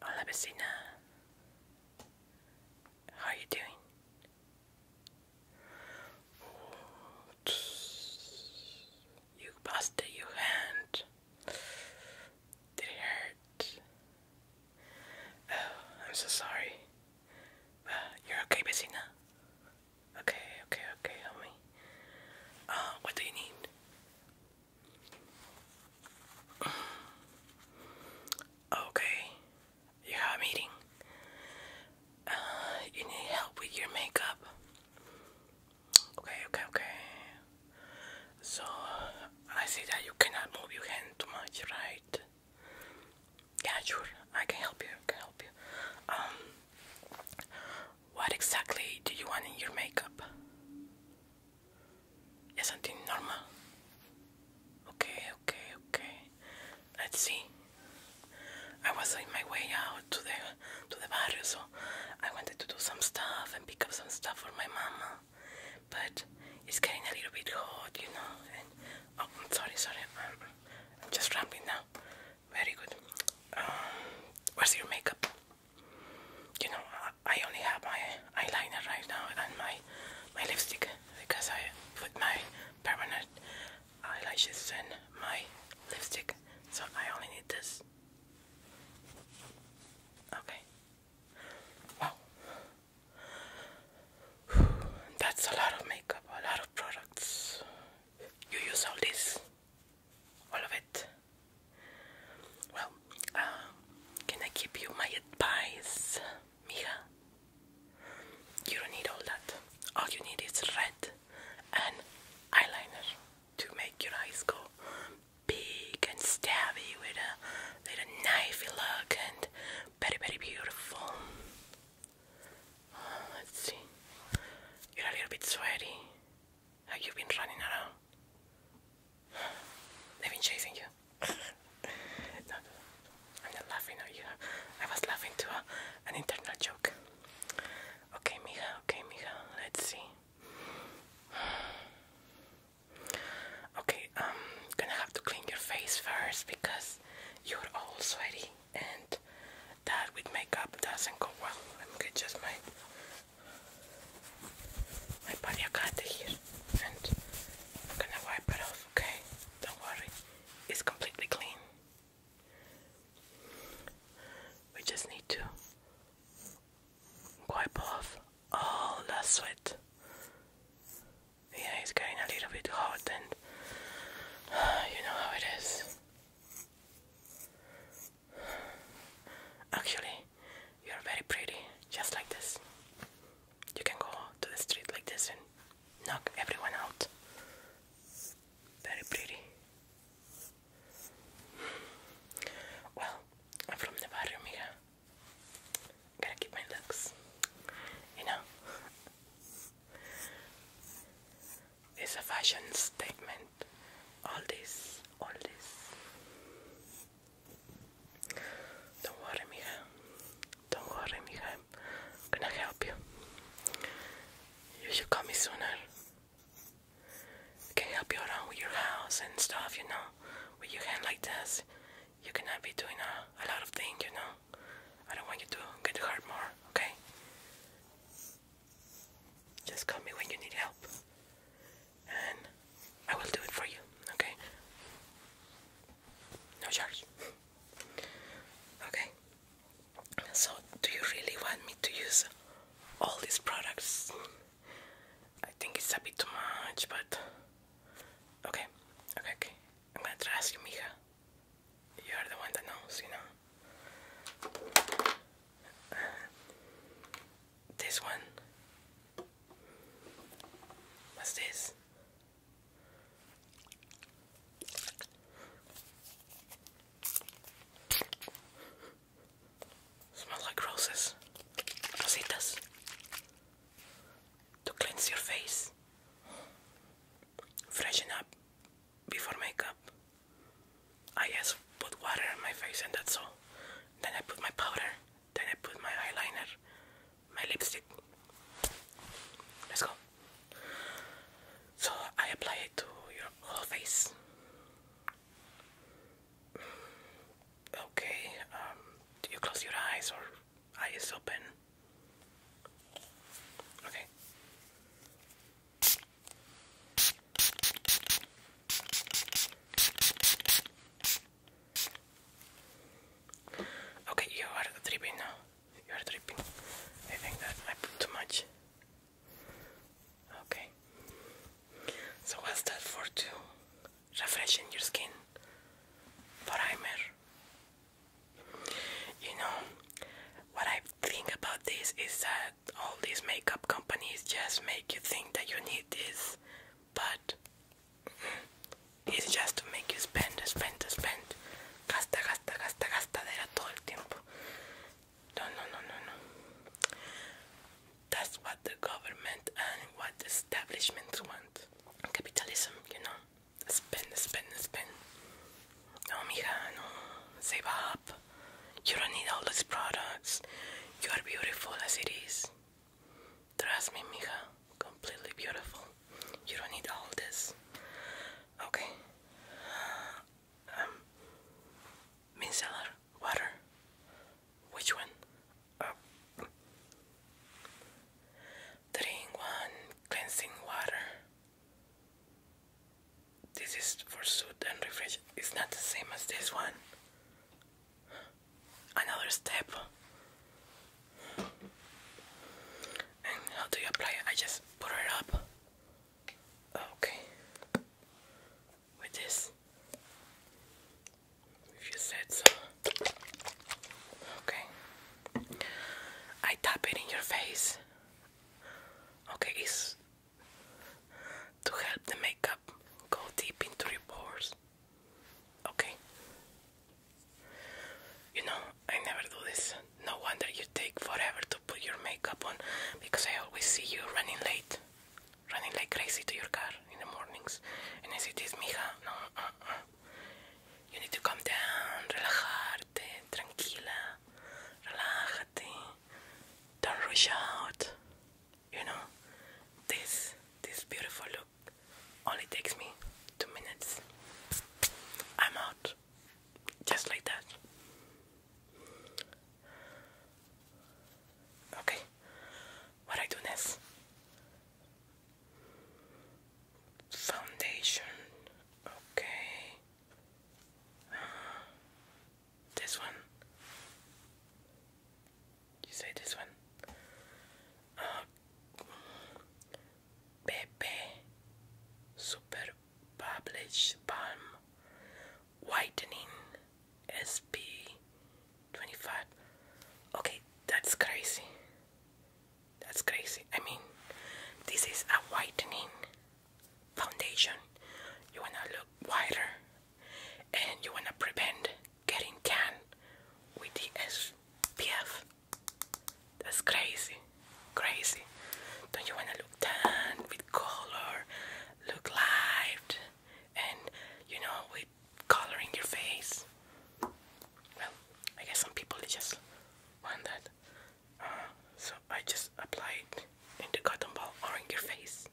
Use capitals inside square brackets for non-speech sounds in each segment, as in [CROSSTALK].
Hola vecina. How are you doing? you busted your hand. Did it hurt? Oh, I'm so sorry. Uh, you're okay, vecina? Okay, okay, okay, help me. Uh, what do you need? Okay, you have a meeting. Uh, you need help with your makeup. Okay, okay, okay. So, I see that you cannot move your hand too much, right? Yeah, sure. I can help you. can help you. Um, what exactly do you want in your makeup? Is something normal? Okay, okay, okay. Let's see. I was on my way out to the to the barrio, so I wanted to do some stuff and pick up some stuff for my mama. But it's getting a little bit hot, you know. And oh, I'm sorry, sorry. I'm, just rambling now. Very good. Um, where's your makeup? you know, I only have my eyeliner right now and my my lipstick because I put my permanent eyelashes in my lipstick, so I only need this. Okay. Wow. [SIGHS] That's a lot of makeup, a lot of products. You use all this, all of it. Well, um, can I give you my advice, Mija? You don't need all that. All you need is red and eyeliner to make your eyes go big and stabby with a little knifey look and very, very beautiful. Oh, let's see. You're a little bit sweaty. Have you been running around? They've been chasing you. [LAUGHS] no, I'm not laughing at you. I was laughing to an internal joke. Okay, mija, okay, mija. Let's see. [SIGHS] Okay, I'm um, gonna have to clean your face first because you're all sweaty and that with makeup doesn't go well. Let me get just my wipe your cut here and I'm gonna wipe it off, okay? Don't worry, it's completely clean. We just need to wipe off all the sweat. Yeah, it's getting a little bit hot, and [SIGHS] you know how it is. Actually, you're very pretty, just like this. You can go to the street like this and knock everyone out. Very pretty. Well, I'm from the barrio, mija. Gotta keep my looks. You know? It's a fashion statement. All this, all this. Don't worry, mija. Don't worry, mija. I'm gonna help you. You should call me sooner. I can help you around with your house and stuff, you know. With your hand like this, you cannot be doing a, a lot of things, you know. I don't want you to get hurt more, okay? Just call me when you need help and I will do it for you, okay? No charge. Okay. So, do you really want me to use all these products? I think it's a bit too much, but okay, okay, okay. I'm gonna trust you, Mija. You're the one that knows, you know. Uh, this one What's this? Smells like roses. Rositas. To cleanse your face. Freshen up before makeup. I just put water on my face and that's all. Then I put my powder. Then I put my eyeliner, my lipstick. Let's go. So I apply it to your whole face. Okay, um, do you close your eyes or eyes open? Okay. Okay, you are tripping now. You are tripping. I think that I put too much. Okay. So what's that for? To refreshen your skin. Primer. You know, what I think about this is that all these makeup companies just make you think that you need this, but it's just to make you spend, spend, spend. Gasta, gasta, gasta, gastadera todo el tiempo. No, no, no, no, no. That's what the government and what the establishments want. Capitalism, you know. Spend, spend, spend. No, mija, no. Save up. You don't need all these products. You are beautiful as it is. Trust me, mija. Completely beautiful. You don't need all this. Okay. Um, water. Which one? Uh, drink one cleansing water. This is for soothe and refresh. It's not the same as this one another step. And how do you apply it? I just put it up. Okay. With this. If you said so. Okay. I tap it in your face. Okay, it's to help the makeup go deep into your pores. Okay. You know, I never do this. No wonder you take forever to put your makeup on because I always see you running late. Running like crazy to your car in the mornings. And as it is, this, mija. No, uh-uh. You need to calm down, relajarte, tranquila, relájate. Don't rush out. You know, this, this beautiful look. Only takes me two minutes. I'm out. Just like that. Okay. What I do next? Foundation. Okay. Uh, this one. You say this one? Uh, Super Publish Balm Whitening SP 25. Okay, that's crazy. That's crazy. I mean, this is a whitening foundation. You wanna look whiter and you want to prevent getting tan with the SPF. That's crazy, crazy. Don't you want to look tan with color, look light, and you know, with coloring your face? Well, I guess some people just want that. Uh, so I just apply it in the cotton ball or in your face.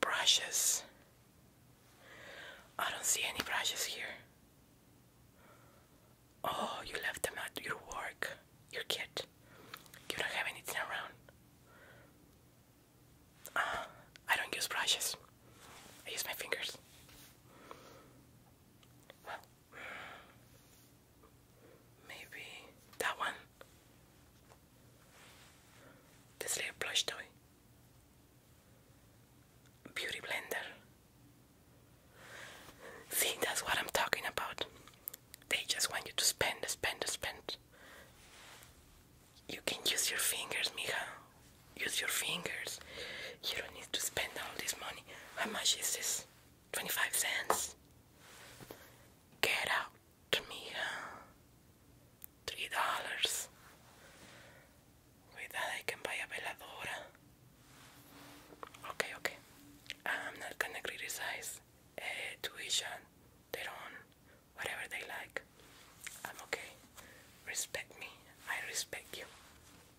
Brushes. I don't see any brushes here. Oh, you left them at your work, your kid. You don't have anything around. Uh, I don't use brushes. I use my fingers. Well, maybe that one. This little plush toy. Beauty blender. See, that's what I'm talking about. They just want you to spend, spend, spend. You can use your fingers, mija. Use your fingers. You don't need to spend all this money. How much is this? 25 cents? Get out me uh, three dollars. With that, I can buy a veladora. Okay, okay. I'm not gonna criticize eh, tuition, their own, whatever they like. I'm okay. Respect me. I respect you.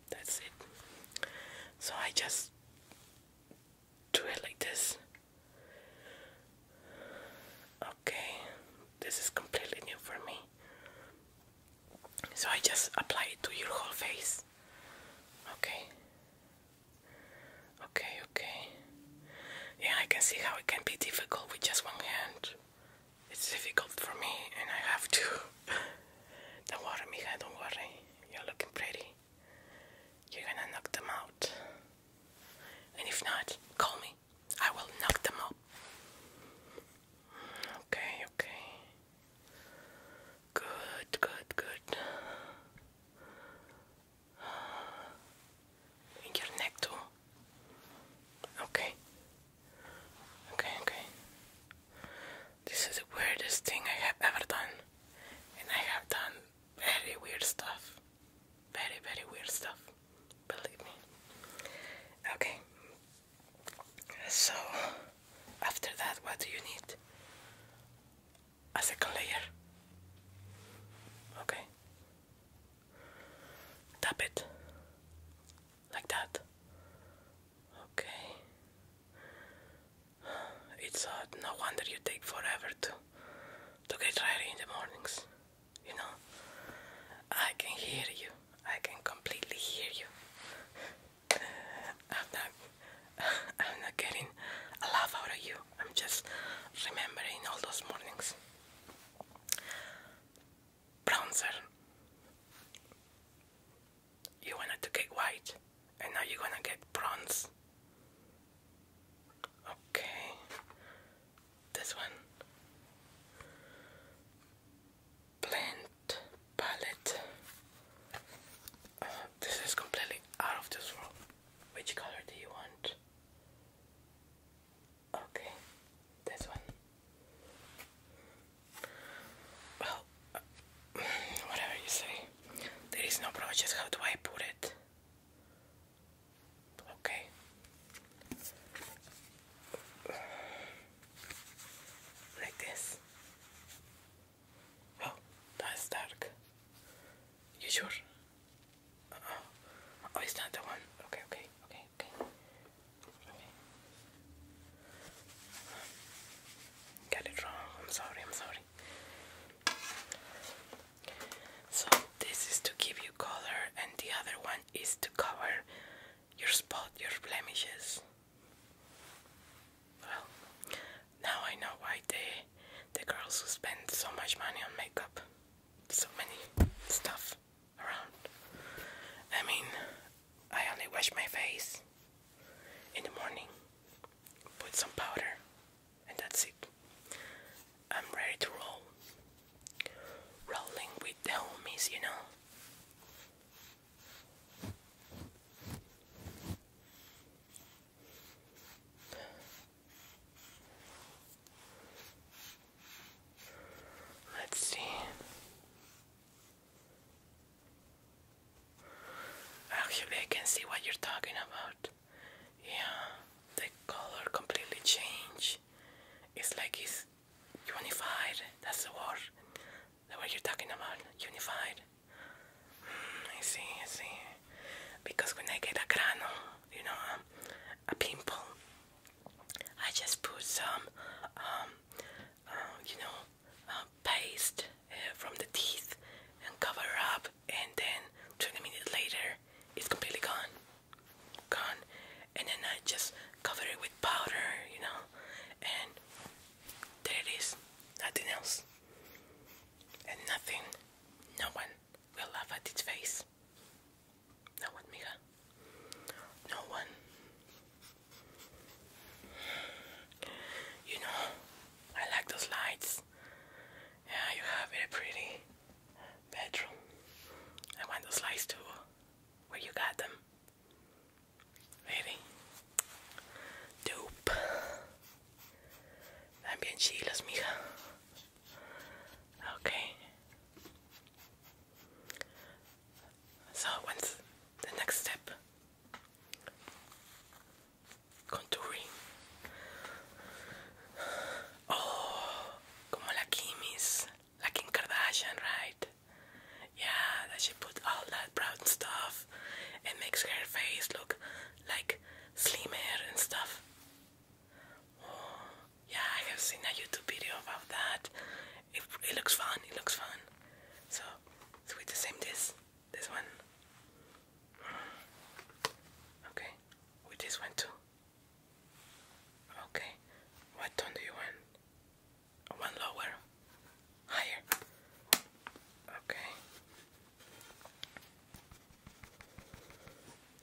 That's it. So I just do it like this. Okay, this is completely new for me. So I just apply it to your whole face. Okay. Okay, okay. Yeah, I can see how it can be difficult with just one hand. It's difficult for me, and I have to. [LAUGHS] don't worry, Mija, don't worry. You're looking pretty. You're gonna knock them out. And if not, call me. I will knock them up. Okay, okay. Good, good, good. your neck Okay. Okay, okay. This is the weirdest thing I have ever done. And I have done very weird stuff. Very, very weird stuff. Believe me. Okay. So, after that, what do you need? A second layer. Okay. Tap it. Like that. Okay. It's odd. No wonder you take forever to to get ready in the mornings. You know, I can hear you. I can completely hear you. I'm not. I'm not getting a laugh out of you. I'm just remembering all those mornings. Bronzer. You wanted to get white, and now you're gonna get bronze. Okay. This one. Blend palette. Uh, this is completely out of this world. Which color do you want? Okay, this one. Well, uh, [SIGHS] whatever you say. There is no project. How do I put it? Okay. Like this. Oh, that's dark. You sure? oh. Oh, it's not the one. okay, okay, okay. Okay. Got it wrong. I'm sorry, I'm sorry. So this is to give you color and the other one is to cover your spot, your blemishes. Well, now I know why they the girls who spend so much money on makeup. So many stuff around. I mean, I only wash my face in the morning. Put some powder that's it. I'm ready to roll. Rolling with the homies, you know. Let's see. Actually, I can see what you're talking about yeah the color completely changed it's like it's unified that's the word the word you're talking about unified mm, I see I see because when I get a grano you know um, a pimple I just put some um, uh, you know uh, paste uh, from the teeth and cover up and then 20 minutes later it's completely gone gone and then I just cover it with powder you know and there it is nothing else and nothing no one will laugh at its face no one Mija no one you know I like those lights yeah you have it pretty bedroom. I want the slice too. Where you got them? Really? Dupe. También chilas, mija. Okay. So, what's the next step? Contouring. Oh, como Kimmy's, la Kim Kardashian, right? Yeah, that she put all that brown stuff and makes her face look like slimmer and stuff. Oh, yeah, I have seen a YouTube video about that. It, looks fun, it looks fun. So, so the same this, this one. Okay, with this one too. Okay, what tone do you want? One lower, higher. Okay.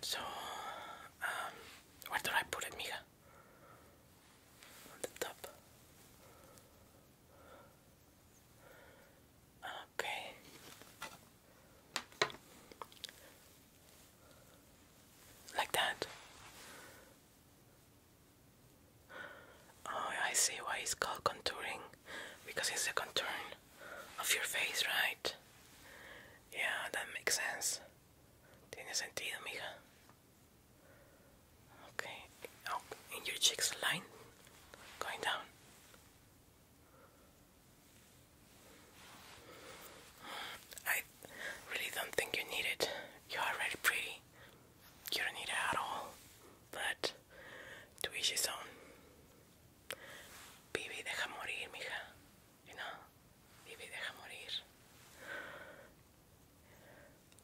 So, um, where do I put it, Mija? On the top. Okay. Like that. Oh, I see why it's called contouring. Because it's the contour of your face, right? Yeah, that makes sense. Tiene sentido, mija. Okay, oh, in your cheeks line, going down. I really don't think you need it. You're already pretty. You don't need it at all. But to each his own. deja morir, mija. You know? Vive deja morir.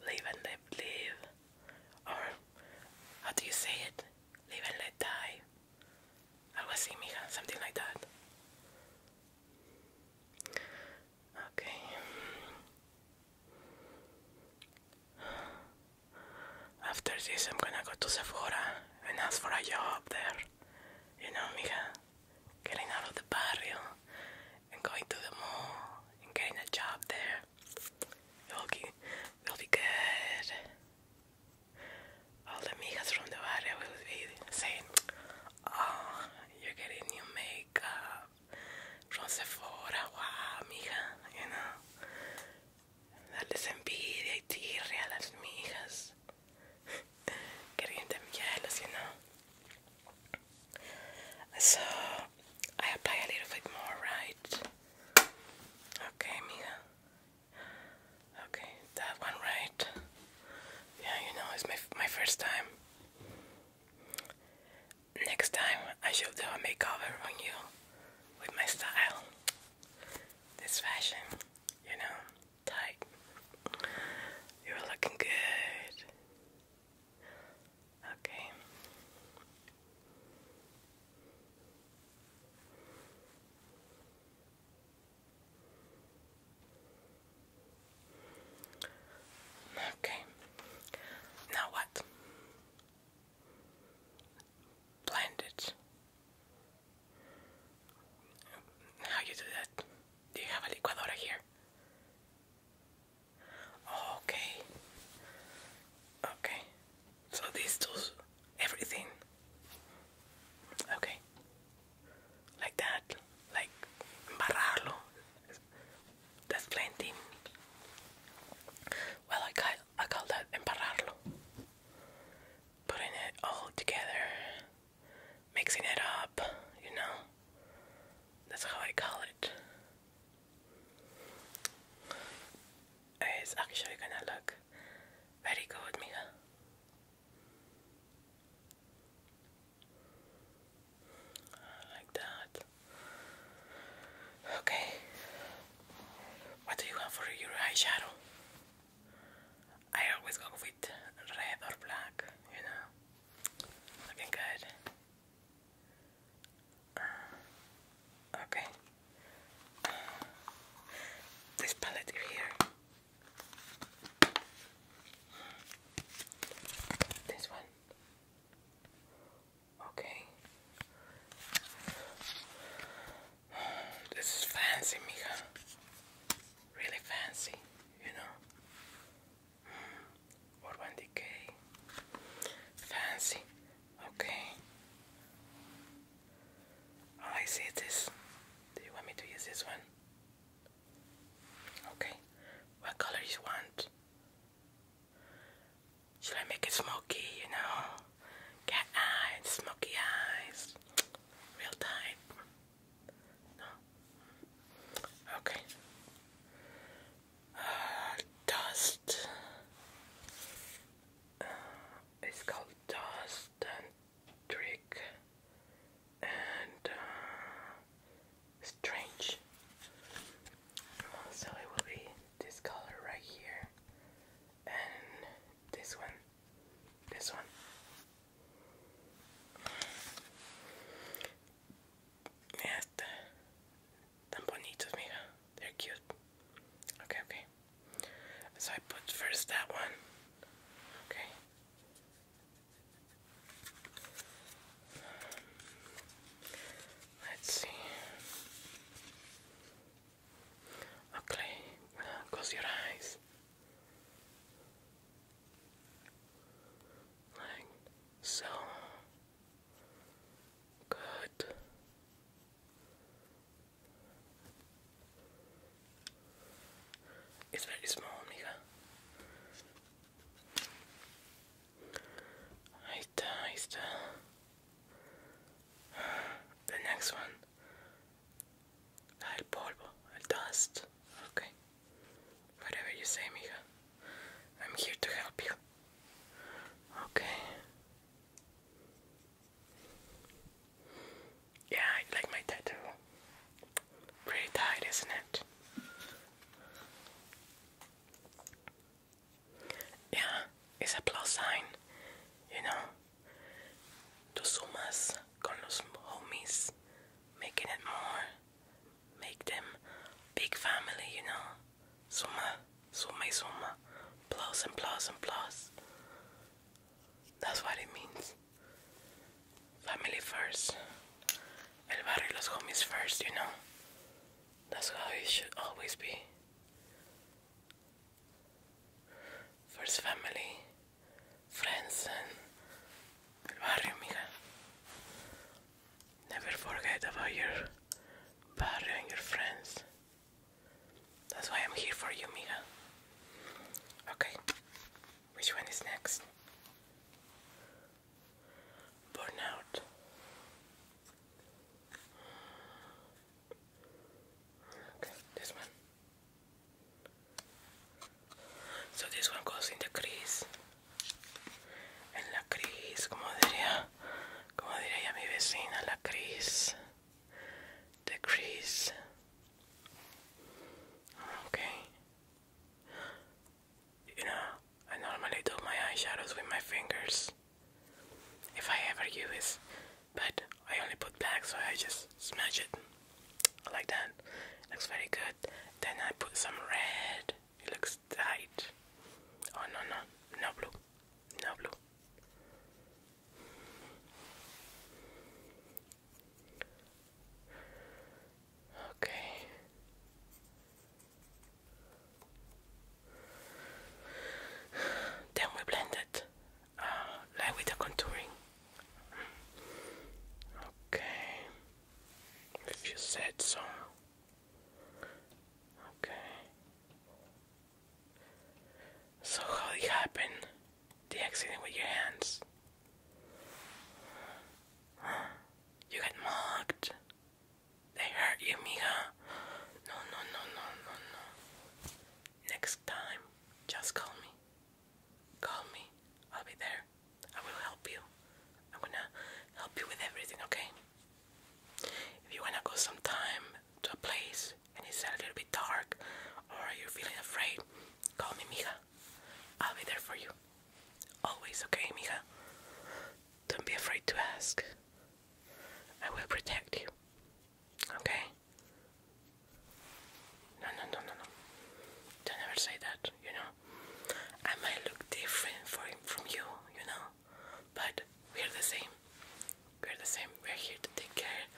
Live and let live. Or, how do you say it? Live and let die. I was así, mija, something like that. Okay. After this, I'm gonna go to Sephora and ask for a job there. You know, mija, getting out of the barrio and going to the mall and getting a job there. will be, it'll be good all the amigas from the area will be saying, Oh, you're getting new makeup from Sephora, wow, amiga, you know. Darles envidia y tirria a las migas, getting [LAUGHS] them jealous, you know. So I apply a little bit more, right? Okay, amiga. Okay, that one right. Yeah, you know, it's my my first time. Next time I shall do a makeover on you with my style. This fashion, you know, tight. You're looking good. Okay. Okay. Now what? Blend it. How you do that? Do you have a licuadora here? Okay. Okay. So this does everything. Okay like that, like embarrarlo. That's plenty. Well, I call, I call that embarrarlo. Putting it all together, mixing it up, you know. That's how I call it. It's actually gonna look very good, Mija. Like that. Okay. What do you have for your eyeshadow? I always go with red or black, you know. Looking good. Uh, okay. Uh, this palette here this one. Okay. This is fancy, Mika. Really fancy, you know. Or decay. Fancy. Okay. Oh, I see this. Do you want me to use this one? Okay, what color you want? Should I make it smoky, you know? Cat eyes, smoky eyes, real type. No? Okay. Uh, dust. Uh, it's called dust trick and uh, strange. So it will be this color right here and this one, this one. Mira esta, tan bonitos, mira. They're cute. Okay, okay. So I put first that one. Okay. Let's see. Okay, uh, close your eyes. Like so. Good. It's very small, amiga. Ahí está, ahí está. The next one. El dust. Okay. Whatever you say, mija. I'm here to help you. Okay. Yeah, I like my tattoo. Pretty tight, isn't it? Yeah, it's a plus sign, you know. Tú sumas con los homies, making it more, make them big family, you know. Suma, suma y suma, plus and plus and plus. That's what it means. Family first. El barrio los homies first, you know. That's how it should always be. First family, friends, and el barrio, mija. Never forget about your barrio and your friends. That's why I'm here for you, mija. Okay. Which one is next? Burnout. Okay, this one. So this one goes in the crease. En la crease, como diría, como diría mi vecina, la crease. The crease. Okay. You know, I normally do my eyeshadows with my fingers if I ever use, but I only put black, so I just smash it like that. Looks very good. Then I put some red. It looks tight. Oh no no no blue, no blue. Okay. Then we blend it uh, with the contouring. Okay. If you said so. Okay. So how it happened? the accident with your hands. You got mugged. They hurt you, Mija. No, no, no, no, no, no. Next time, just call me. Call me. I'll be there. I will help you. I'm gonna help you with everything, okay? If you wanna go sometime to a place and it's a little bit dark or you're feeling afraid, call me, Mija. I'll be there for you. Always, okay, mija? Don't be afraid to ask. I will protect you. Okay? No, no, no, no, no. Don't ever say that, you know? I might look different for, from you, you know? But we're the same. We're the same. We're here to take care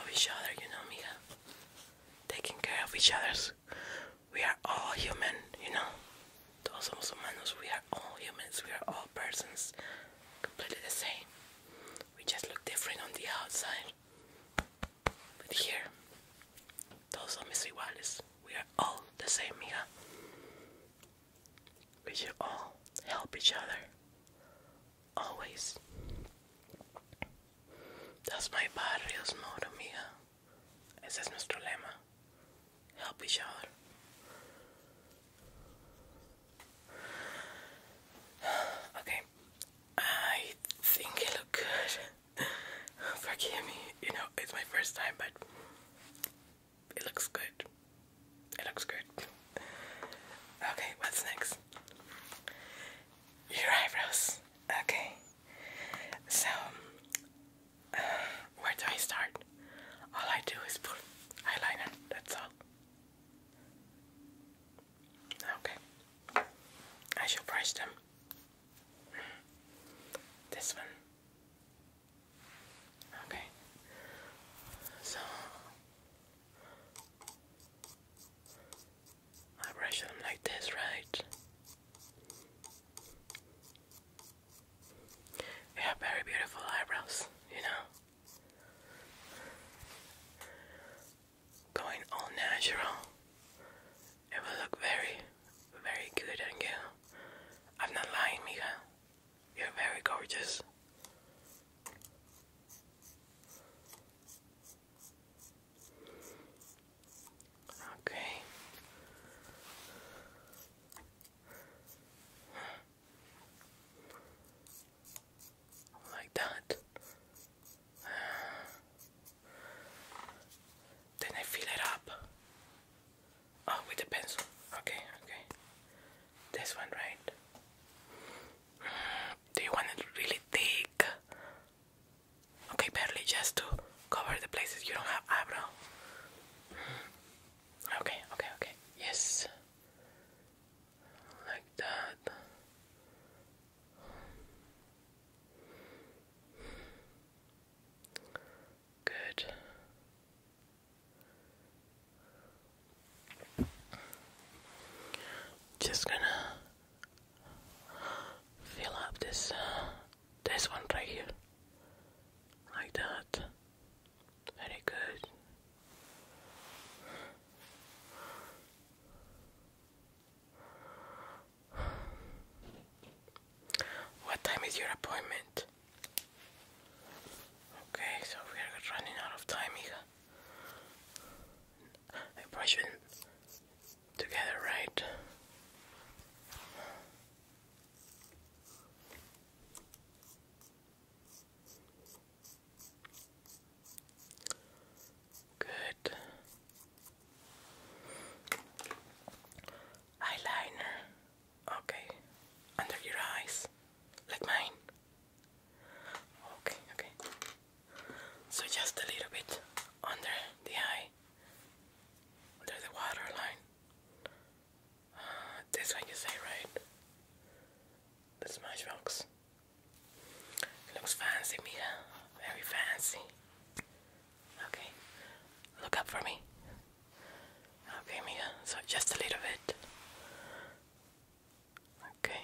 of each other, you know, mija? taking care of each other. We are all human, you know. Todos somos humanos. We are all humans. We are all persons. Completely the same. We just look different on the outside. But here, todos somos iguales. We are all the same, mija. We should all help each other always. That's my barrio's motto, mija. Ese es nuestro lema. Help each other. [SIGHS] Okay, I think it looked good. [LAUGHS] Forgive me, you know, it's my first time, but it looks good. It looks good. Okay, what's next? Your eyebrows. Okay, so uh, where do I start? All I do is put eyeliner, that's all. Okay, I shall brush them. This one. Okay, so I brush them like this, right? You have very beautiful eyebrows, you know. Going all natural, it will look very, very good on you. I'm not lying, Mija. You're very gorgeous. Okay. Like that. Then I fill it up. Oh, with a pencil. Okay, okay. This one, right? Do you want it really thick? Okay, barely just to cover the places you don't have eyebrow. Okay, okay, okay. Yes. Like that. Good. Just gonna fill up this uh, this one right here like that very good what time is your appointment? Okay, so we are running out of time, Iga. I together, right? Good eyeliner, okay, under your eyes, like mine. Okay, okay. So just a little bit under the eye, under the waterline. Uh, [SIGHS] this you say, right? The Smashbox. looks fancy, Mia. Very fancy. Okay, look up for me. Okay, Mia. So just a little bit. Okay.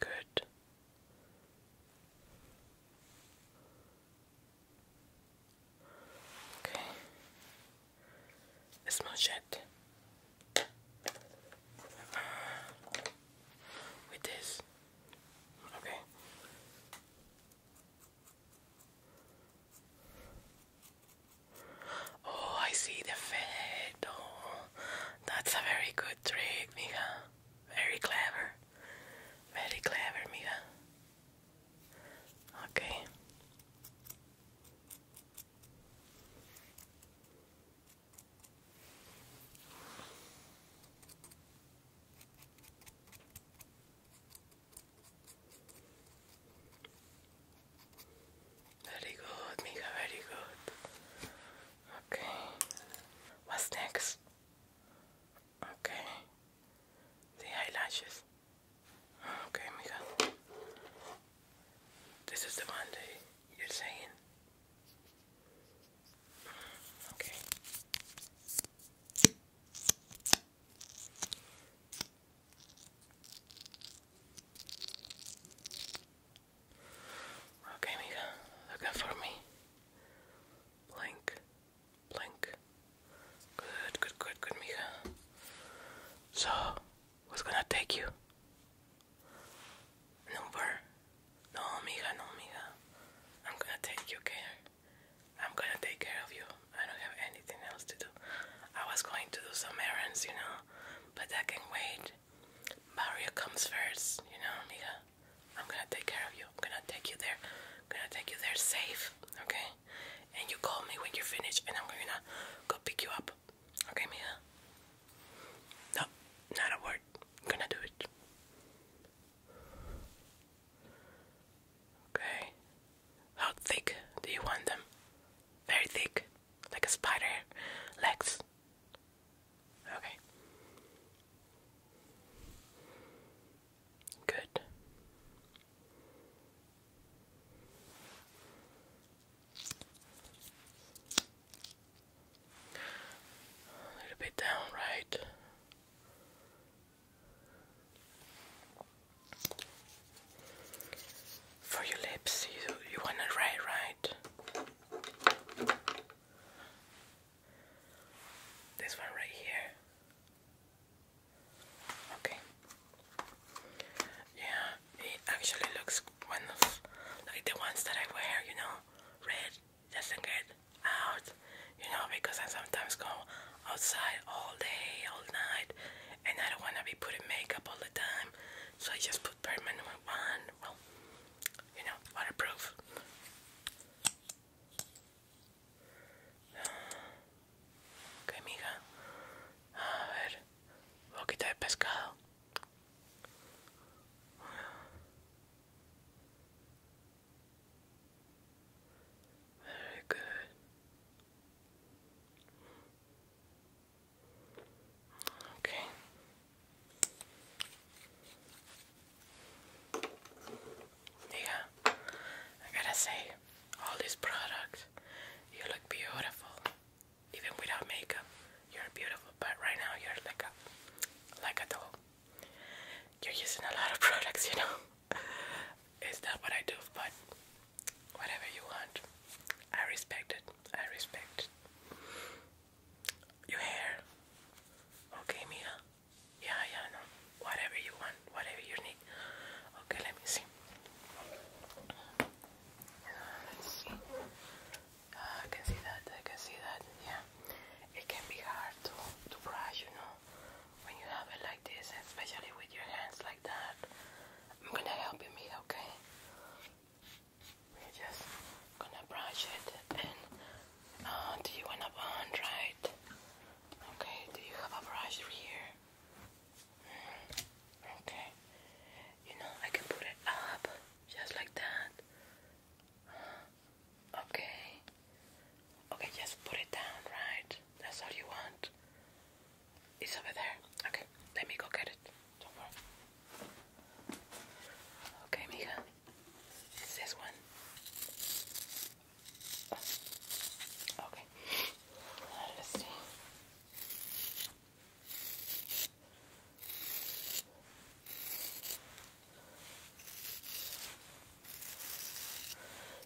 Good. Okay. This machete. Uh, with this. Okay. Oh, I see the fed. Oh, that's a very good trick, mija. Very clever. Very clever, mija. Okay. Very good, Mika, very good. Okay. What's next? Okay. The eyelashes. Okay, Mika. This is the one that you're saying. Okay. Okay, Mika, looking for me. Blink, blink. Good, good, good, good, Mika. So, who's gonna take you? Number? No, Mika, no, Mika. I'm gonna take you care. I'm gonna take care of you. I don't have anything else to do. I was going to do some errands, you know, but that can wait. Maria comes first, you know, amiga. I'm gonna take care of you. I'm gonna take you there. I'm gonna take you there safe, okay? And you call me when you're finished, and I'm gonna go pick you up, okay, amiga? No, not a word. I'm gonna do it. Okay. How thick do you want them? Very thick, like a spider legs. Okay. Good. A little bit down, right? For your lips, you you want it right, right? This one right here. Okay. Yeah, it actually looks one of like the ones that I wear, you know, red doesn't get out, you know, because I sometimes go outside all day, all night, and I don't want to be putting makeup all the time, so I just put footprint minimum one. Well, you know, waterproof. [SIGHS] Ok, mija. A ver, un de pescado. [SIGHS] Very good. Okay. Yeah, I gotta say, all these products, you look beautiful. Even without makeup, you're beautiful. But right now, you're like a, like a doll. You're using a lot of [LAUGHS] products, you know. it's not what I do, but whatever you want, I respect it. I respect. It. Your hair. Okay, Mia. Yeah, yeah, no. Whatever you want, whatever you need. Okay, let me see. let's ah, see. I can see that. I can see that. Yeah. It can be hard to to brush, you know, when you have it like this, especially with your hands like that. I'm gonna help you, Mia. Okay just gonna brush it and uh, do you want a bond, right? Okay, do you have a brush here? Mm, okay. You know, I can put it up just like that. okay. Okay, just put it down, right? That's all you want. It's over there. Okay, let me go get it. Okay, Mika. It's this one. Okay. Let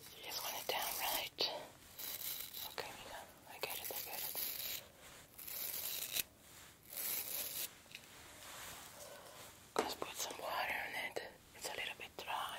You just want it down right. Okay, Mika. I get it, I get it. Let's put some water on it. It's a little bit dry.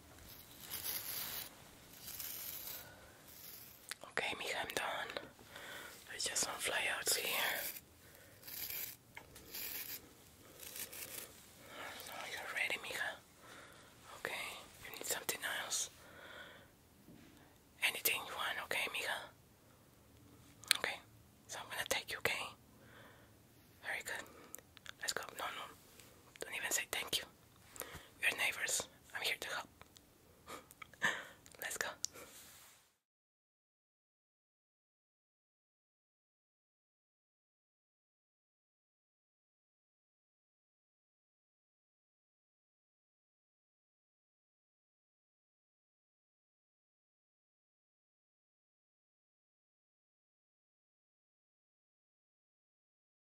Okay, Mika, I'm done. There's just some flyouts here. No, you ready, Mika. Okay, you need something else. Anything you want, okay, Mika? Okay, so I'm gonna take you, okay? Very good. Let's go. No, no. Don't even say thank you you. We're neighbors. I'm here to help. [LAUGHS] Let's go.